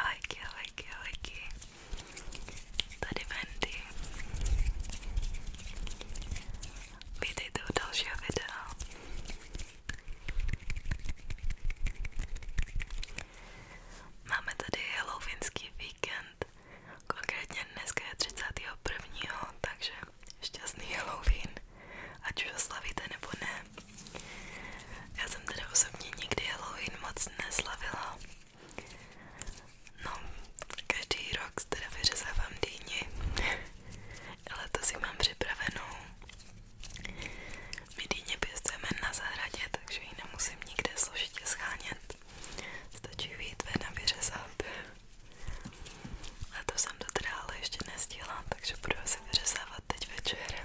Ahojky, ahojky, ahojky. Tady Wendy. Vítejte u dalšího videa. Máme tady halloweenský víkend. Konkrétně dneska je 31. takže šťastný Halloween. Ať už ho slavíte nebo ne. Já jsem teda osobně nikdy Halloween moc neslavila. No, každý rok teda vyřezávám dýni, ale to si mám připravenou. My dýně pěstujeme na zahradě, takže ji nemusím nikde složitě schánět. Stačí vyjít ven a vyřezat. A to jsem to teda ale ještě nestihla, takže budu asi vyřezávat teď večer.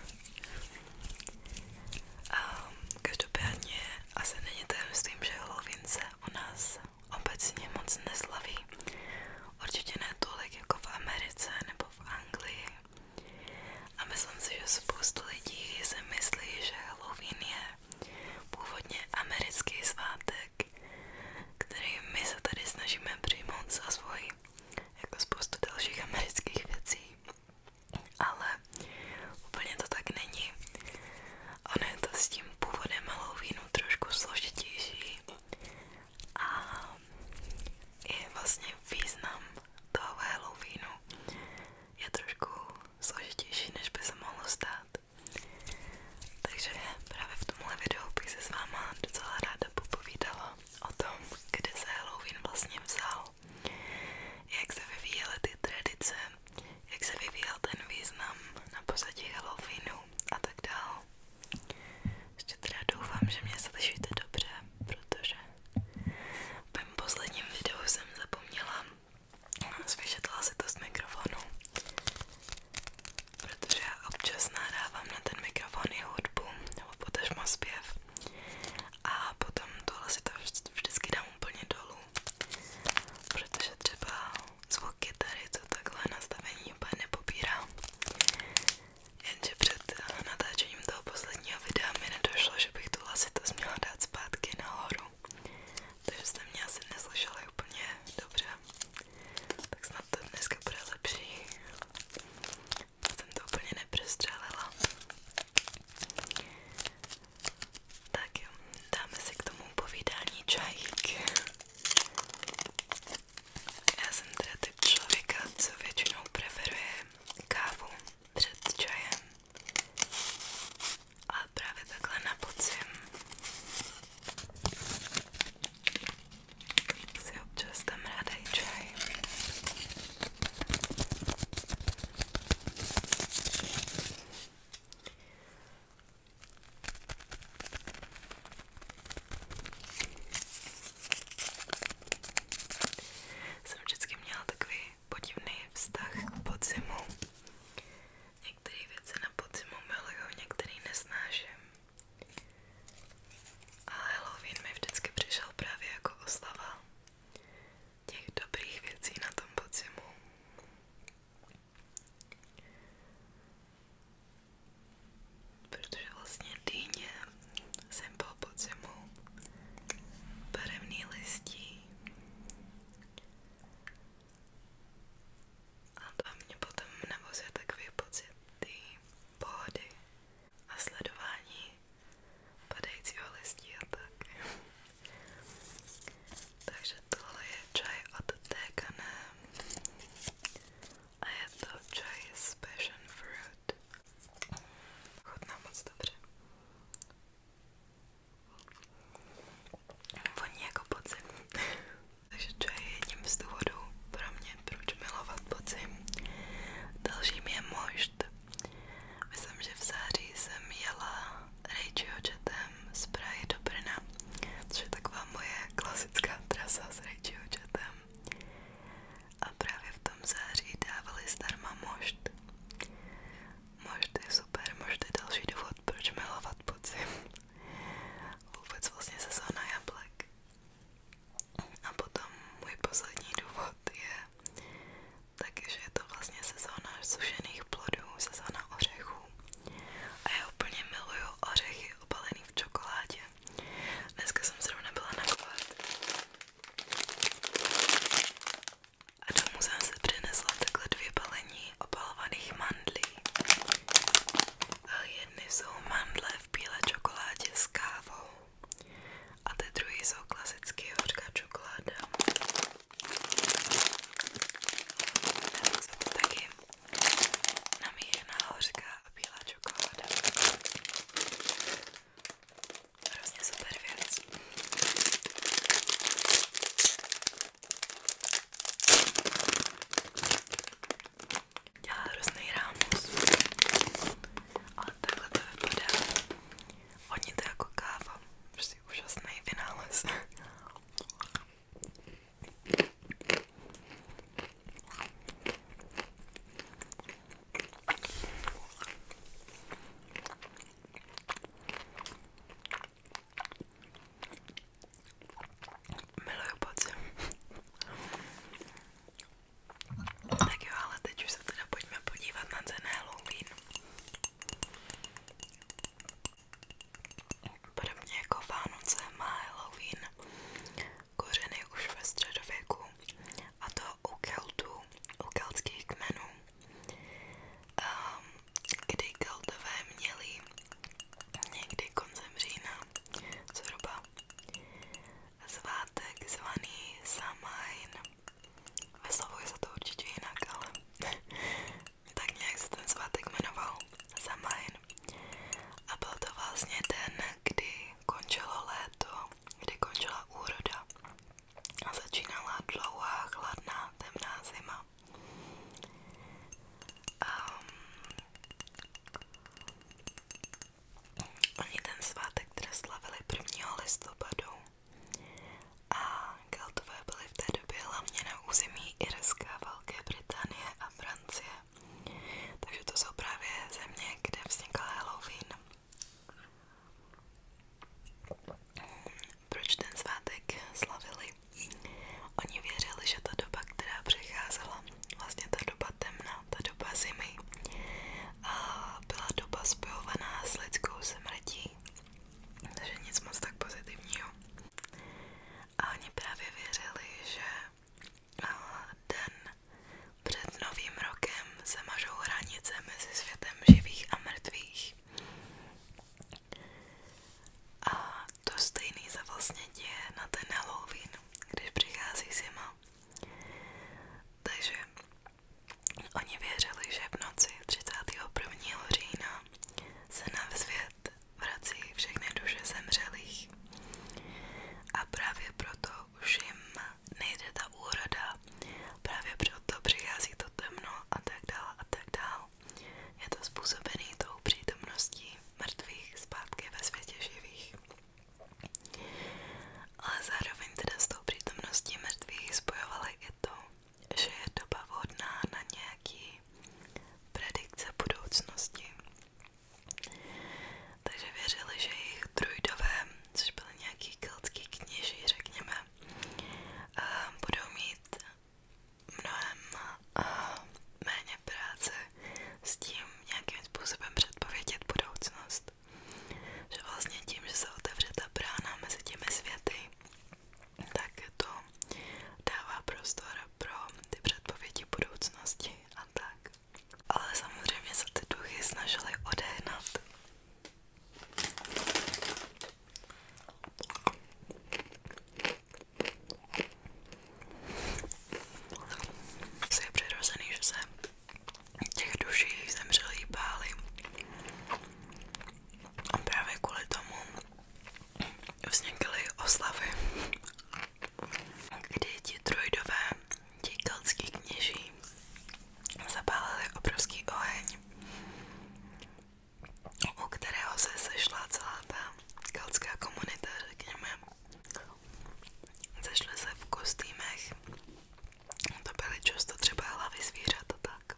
Um, každopádně asi není tajemstvím, že Halloween se u nás obecně moc neslaví. Určitě ne tolik jako v Americe nebo v Anglii. A myslím si, že spoustu lidí si myslí, že Halloween je původně americký svátek, který my se tady snažíme přijmout za svůj jako spoustu dalších amerických věcí, ale úplně to tak není. Ono je to s tím původem Halloweenu trošku složitější a je vlastně význam toho Halloweenu je trošku složitější, než by se mohlo stát. Takže právě v tomhle videu bych se s váma docela ráda popovídala o kde se Halloween vlastně vzal, jak se vyvíjely ty tradice, jak se vyvíjel ten význam na Halloweenu a tak dál. Ještě teda doufám, že mě slyšíte dobře, protože v posledním videu jsem zapomněla zvyšetla si to z mikrofonu, protože občas nahrávám na ten mikrofon i hudbu nebo potažmo a potom tohle si to vždycky dám úplně dolů, protože třeba zvuk kytary, co takhle nastavení úplně nepopírá. Jenže před eh, natáčením toho posledního videa mi nedošlo, že bych tu lasitost měla dát zpátky nahoru. Takže jste mě asi neslyšeli úplně dobře. Tak snad to dneska bude lepší jsem to úplně neprostřelila. Tak jo, dáme si k tomu povídání čajík. Já jsem teda typ člověka, co většinou preferuje kávu před čajem. A právě takhle na podzim si občas tam ráda i čaj. Jsem vždycky měla takový podivný vztah k podzimu. Některé věci na podzimu miluju, některé nesnáším. A Halloween mi vždycky přišel právě jako oslava těch dobrých věcí na tom podzimu. Protože vlastně dýně, symbol podzimu, barevný listí a to mě potom navozuje takový pocit tý pohody a sledování padajícího listí a tak. Takže tohle je čaj od Tegane a je to čaj z Passion Fruit. Chutná moc dobře. Voní jako podzim. Takže to je jedním z důvodů pro mě, proč milovat podzim. Dalším je mošt. Myslím, že v září jsem jela Rachieho jetem z Prahy do Brna, což je taková moje klasická trasa s Rachieho jetem. A právě v tom září dávali zdarma mošt. Mošt je super, mošt je další důvod, proč milovat podzim. Vůbec vlastně sezóna jablek. A potom můj poslední důvod je taky, je to vlastně sezóna sušených plodů, sezóna ořechů. A já úplně miluju ořechy obalený v čokoládě. Dneska jsem zrovna byla nakovat. A domů jsem se přinesla takhle dvě balení obalovaných mandlí. A jsou mandle v bílé čokoládě s kávou. A ty druhý jsou klasicky hořká čokoláda. A jsou to taky namíjená hořká a bílá čokoláda. Hrozně super věc dělá hrozný rámus, ale takhle to vypadá. Hodně to jako káva, prostě úžasný vynález. Miluju podzim. Tak jo, ale teď už se teda pojďme podívat na cené Halloween. Podobně jako Vánoce má Halloween kořeny už ve středověku a to u Keltů, u keltských kmenů, um, kdy Keltové měli někdy koncem října zhruba svátek zvaný Samhain. Vyslovuje se to určitě jinak, ale tak nějak se ten svátek jmenoval Samhain. A byl to vlastně den, kdy končilo léto, kdy končila úroda a začínala dlouhá, chladná, temná zima um, oni ten svátek teda slavili 1. listopadu a Keltové byli v té době hlavně na území Irska, Velké Británie a Francie. Takže to jsou právě země, kde vznikl Halloween. Proč ten svátek slavili? Oni věřili, že ta doba, která přecházela, vlastně ta doba temná, ta doba zimy, a byla doba spojovaná s lidskou smrtí, takže nic moc tak pozitivního. A oni právě věřili, že den před novým rokem se mažou hranice mezi světem živých a mrtvých. A to stejný se vlastně děje na ten Halloween, když přichází zima. Takže oni věřili, že v noci 31. října se na svět vrací všechny duše zemřelých. A právě proto už jim nejde ta úroda, právě proto přichází to temno a tak dál a tak dál. Je to způsobený tou přítomností mrtvých zpátky ve světě živých. Ale zároveň teda s tou přítomností mrtvých spojovala i to, že je doba vhodná na nějaký predikce budoucnosti. Takže věřili, že jejich druidové, což byly nějaký keltský kněží, řekněme, eh, budou mít mnohem uh, méně práce s tím nějakým způsobem předpovědět budoucnost. Že vlastně tím, že se otevře ta brána mezi těmi světy, tak to dává prostor pro ty předpovědi budoucnosti a tak. Ale samozřejmě se ty duchy snažily odehnat. Asi je přirozený, že se těch duší zemřelí báli. A právě kvůli tomu vznikly vlastně oslavy, kdy ti trojdové, ti keltský kněží, zapálili obrovský oheň u kterého se sešla celá ta keltská komunita, řekněme. Sešly se v kostýmech, to byly často třeba hlavy zvířat tak.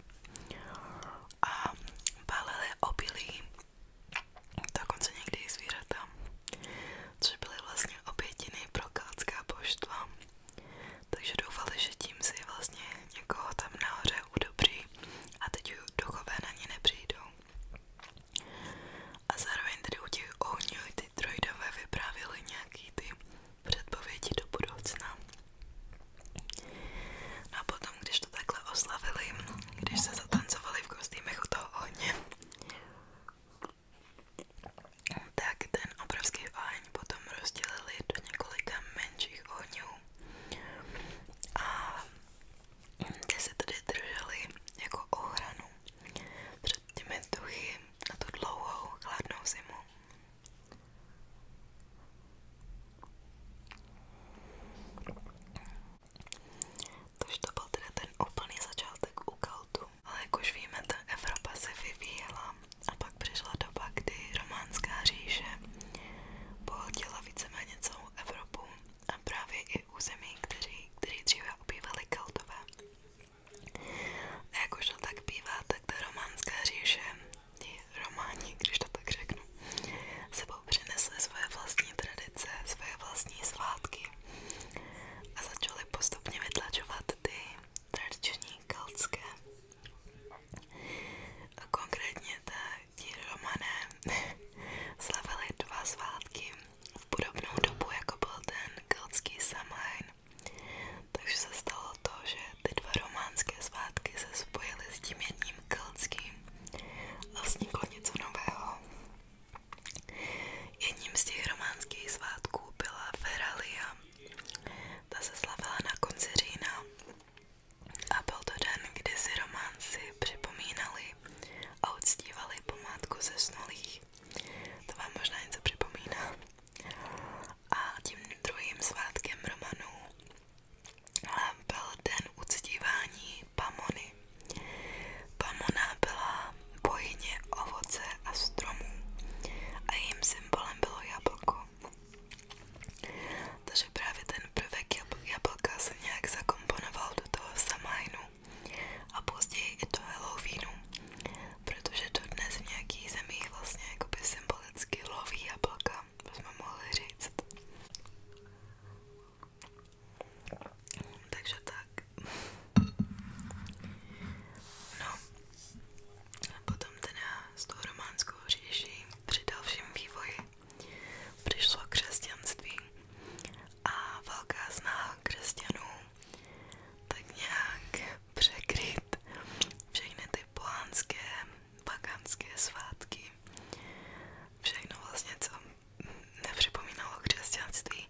A balili obilí, dokonce někdy zvířata, což byly vlastně obětiny pro keltská božstva. Takže doufali, že tím si vlastně někoho tam nahoře udobří a teď duchové na ně nepřijdou. A zároveň tedy u těch ohňů ty droidové vyprávěly nějaký ty předpovědi do budoucna. No a potom, když to takhle oslavili, když se zatancovali v kostýmech u toho ohně, tak ten obrovský oheň potom rozdělili do několika menších ohňů a ty se tady drželi jako ohranu před těmi duchy a tu dlouhou chladnou zimu. Takže to byl teda ten úplný začátek u Kaltu. Ale jak už víme, ta Evropa se vyvíjela a pak přišla doba, kdy románská říše pohltila víceméně vlastně celou Evropu a právě i území, kteří, kteří dříve obývali Keltové. A jak už to tak bývá, tak ta románská říše, ti románi, když to tak řeknu, sebou přinesli svoje vlastní tradice, svoje vlastní svátky a začali postupně vytlačovat ty tradiční keltské. A konkrétně ta ti Romané slavili dva svátky v podobnou dobu, jako byl ten keltský Samhain. Takže se stalo to, že ty dva románské svátky se spojily s tím jedním keltským a vzniklo něco nového. Jedním z těch románských svátků byla Feralia. Ta se slavila na konci října a byl to den, kdy si románci připomínali a uctívali památku zesnulých. To vám možná něco připomíná. A tím druhým svátkem Romanů byl den uctívání Pamony. Pamona byla bohyně ovoce a stromů a jejím symbolem bylo jablko. Takže právě ten prvek jablka jsem nějak zakomponoval do toho samajnu a později i do Halloweenu, protože to dnes v nějakých zemích vlastně jakoby symbolicky loví jablka, bychom mohli říct. Takže tak. No, Potom teda s tou románskou říší při dalším vývoji přišlo křesťanství a velká snaha křesťanů tak nějak překryt všechny ty polánské, paganské svátky, všechno vlastně, co nepřipomínalo křesťanství,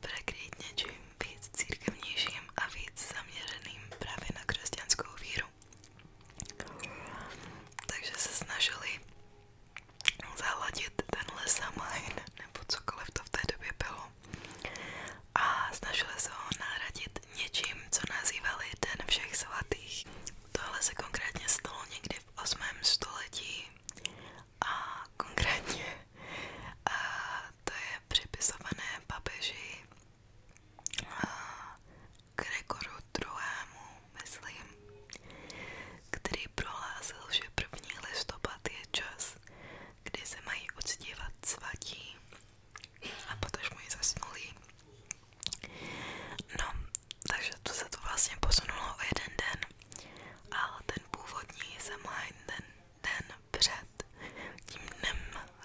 překrýt něčím víc církevnějším a víc zaměřeným právě na křesťanskou víru. Takže se snažili zahladit tenhle samajn, nebo cokoliv to v té době bylo. A snažili se ho nahradit něčím, co nazývali Den všech svatých. Tohle se konkrétně stalo někdy v 8. století a konkrétně a to je připisované papeži Gregoru druhému, myslím, který prohlásil, že 1. listopad je čas, kdy se mají uctívat svatí a potažmo ji zasnulí. No, takže to se to vlastně posunulo o jeden den, ale ten původní se má den, den před tím dnem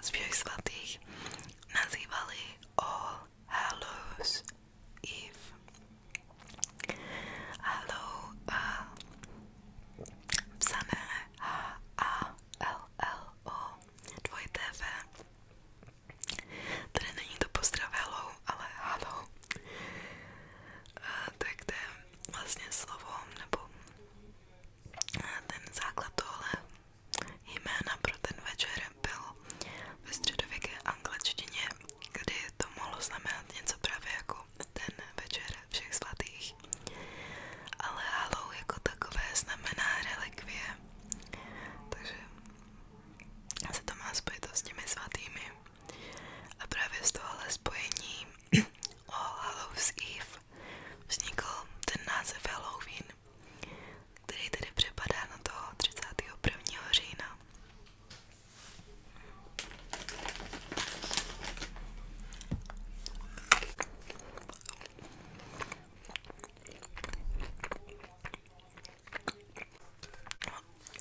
svých svatých nazývali All Hallows Eve. Hallow a psané H-A-L-L-O dvojité V. Tady není to pozdrav Hello, ale Hallow. Tak to je vlastně slovo, nebo ten základ tohle jména pro ten večer bylo ve středověké angličtině, kdy to mohlo znamenat něco právě jako ten večer všech svatých. Ale halou jako takové znamená relikvie, takže se to má spojitost s těmi svatými. A právě z tohohle spojení o Hallows Eve vznikl ten název Halloween, který tedy připadá na toho 31. října.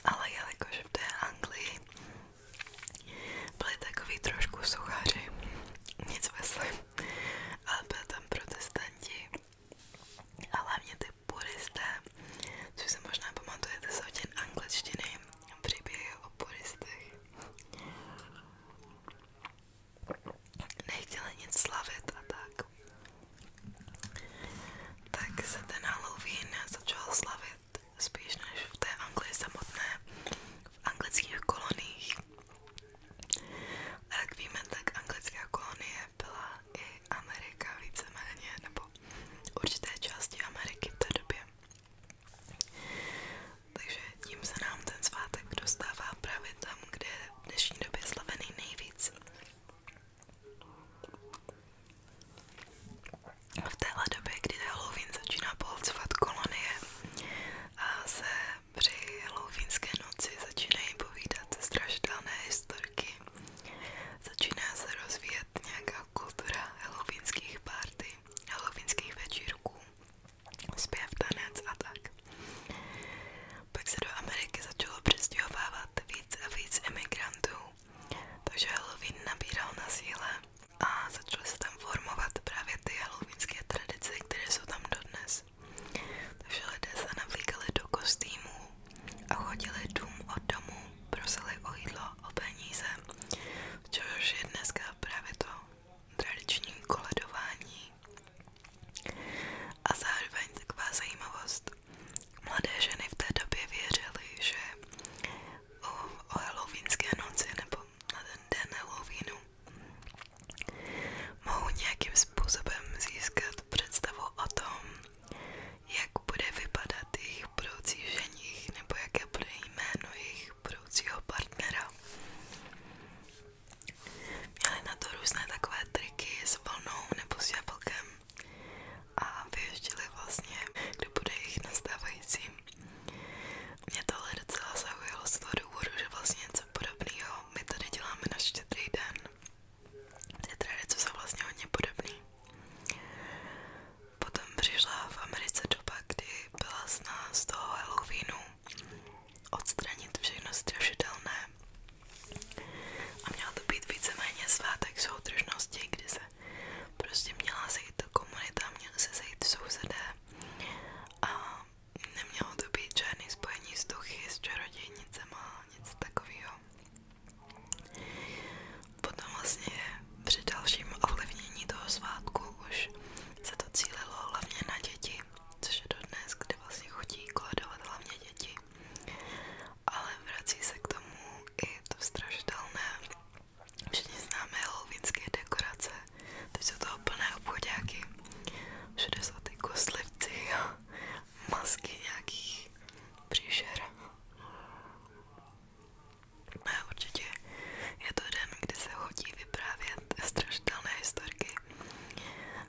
Ale jelikož v té Anglii byly takový trošku suchaři, nic veselý, ale byli tam protestanti a hlavně ty puristé, což se možná pamatujete z hodin angličtiny, příběhy o puristech. Nechtěli nic slavit a tak. Tak se ten Halloween začal slavit spíš než v té Anglii samotné v anglických koloniích. A jak víme, tak anglická kolonie byla i Amerika víceméně, nebo určité části Ameriky v té době. Takže tím se nám ten svátek dostává právě tam, kde je v dnešní době slavený nejvíc. V téhle době, kdy Halloween začíná pohlcovat kolonie a se při halloweenské noci začínají povídat strašidelné historky. Začíná se rozvíjet nějaká kultura halloweenských party, halloweenských večírků, zpěv, tanec a Pak se do Ameriky začalo přestěhovávat víc a víc emigrantů, takže Halloween nabíral na síle a začaly se tam formovat právě ty halloweenské tradice, které jsou tam dodnes. Takže lidé se navlíkali do kostýmů a chodili dům od domu, prosili o jídlo, o peníze, což je dneska právě to tradiční koledování. A zároveň taková zajímavost. Mladé ženy v té době věřily, že o, o halloweenské noci nebo na ten den Halloweenu Mohu nějakým způsobem získat představu o tom, jak bude vypadat jejich budoucí ženich nebo jaké bude jméno jejich budoucího partnera. Měli na to různé takové triky s vlnou nebo s jablkem a vyještili vlastně, kdo bude jejich nastávající mě tohle docela zaujalo z toho důvodu, že vlastně něco podobného my tady děláme na štědrý den. Ty tradice jsou vlastně hodně podobný. Potom přišla v Americe doba, kdy byla z nás toho Halloweenu odstranit všechno strašidelné a měla to být víceméně svátek soudržnosti, kdy se prostě měla sejít komunita, měla se sejít sousedé a nemělo to být žádný spojení s duchy, s čarodějnicema, nic takového. Potom vlastně při dalším ovlivnění toho svátku už se to cílilo hlavně na děti, což je dodnes, kde vlastně chodí koledovat hlavně děti. Ale vrací se k tomu i to strašidelné Všichni známe halloweenské dekorace, teď jsou toho plné obchodáky, všude jsou ty kostlivci masky nějakých příšer. No, určitě je to den, kdy se hodí vyprávět strašidelné historky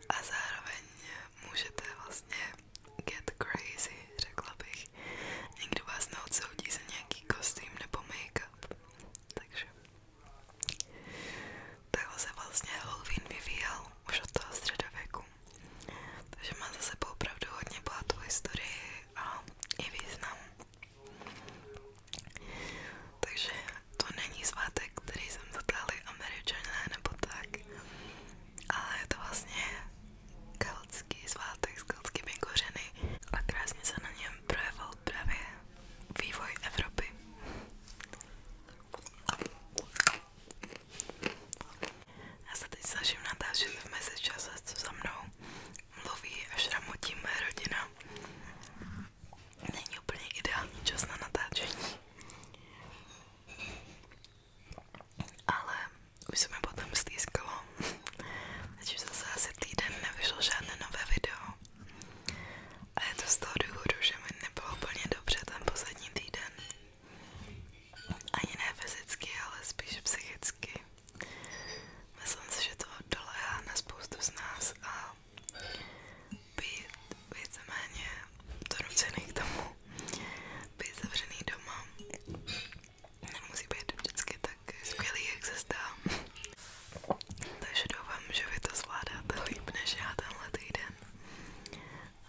a zároveň můžete vlastně get crazy, řekla bych. Někdo vás neodsoudí za nějaký kostým nebo make takže takhle se vlastně Halloween vyvíjel už od toho středověku. Takže má za sebou opravdu hodně bohatou historii a i význam. Takže to není svátek, který jsem zatáhli američané nebo tak, ale je to vlastně keltský svátek s keltskými kořeny a krásně se na něm projevil právě vývoj Evropy. Já se teď snažím natáčet v mezičase, co za mnou mluví a šramotí rodina. Není úplně ideální čas na natáčení. Ale už se mi potom stýskalo Teď už zase asi týden nevyšlo žádné nové video. A je to z toho důvodu, že mi nebylo úplně dobře ten poslední týden. Ani ne fyzicky, ale spíš psychicky. Myslím si, že to dolehá na spoustu z nás a být víceméně donucený k tomu, být zavřený doma nemusí být vždycky tak skvělý, jak se zdá. Takže doufám, že vy to zvládáte líp než já tenhle týden.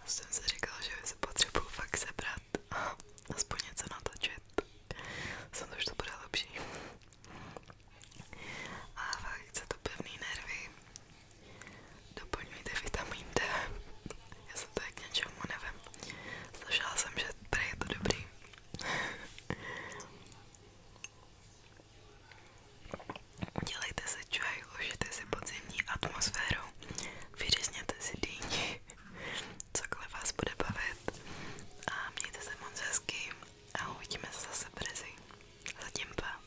A jsem si říkala, že se potřebuju fakt sebrat a aspoň něco natočit. Jsem to, že to bude lepší. A fakt chce to pevný nervy. Doplňujte vitamin D. Já jsem to k něčemu nevím. Slyšela jsem, že prý je to dobrý Dělejte se čaj, užijte si podzimní atmosféru, vyřezněte si dýni, cokoliv vás bude bavit a mějte se moc hezky a uvidíme se zase brzy. Zatím pa.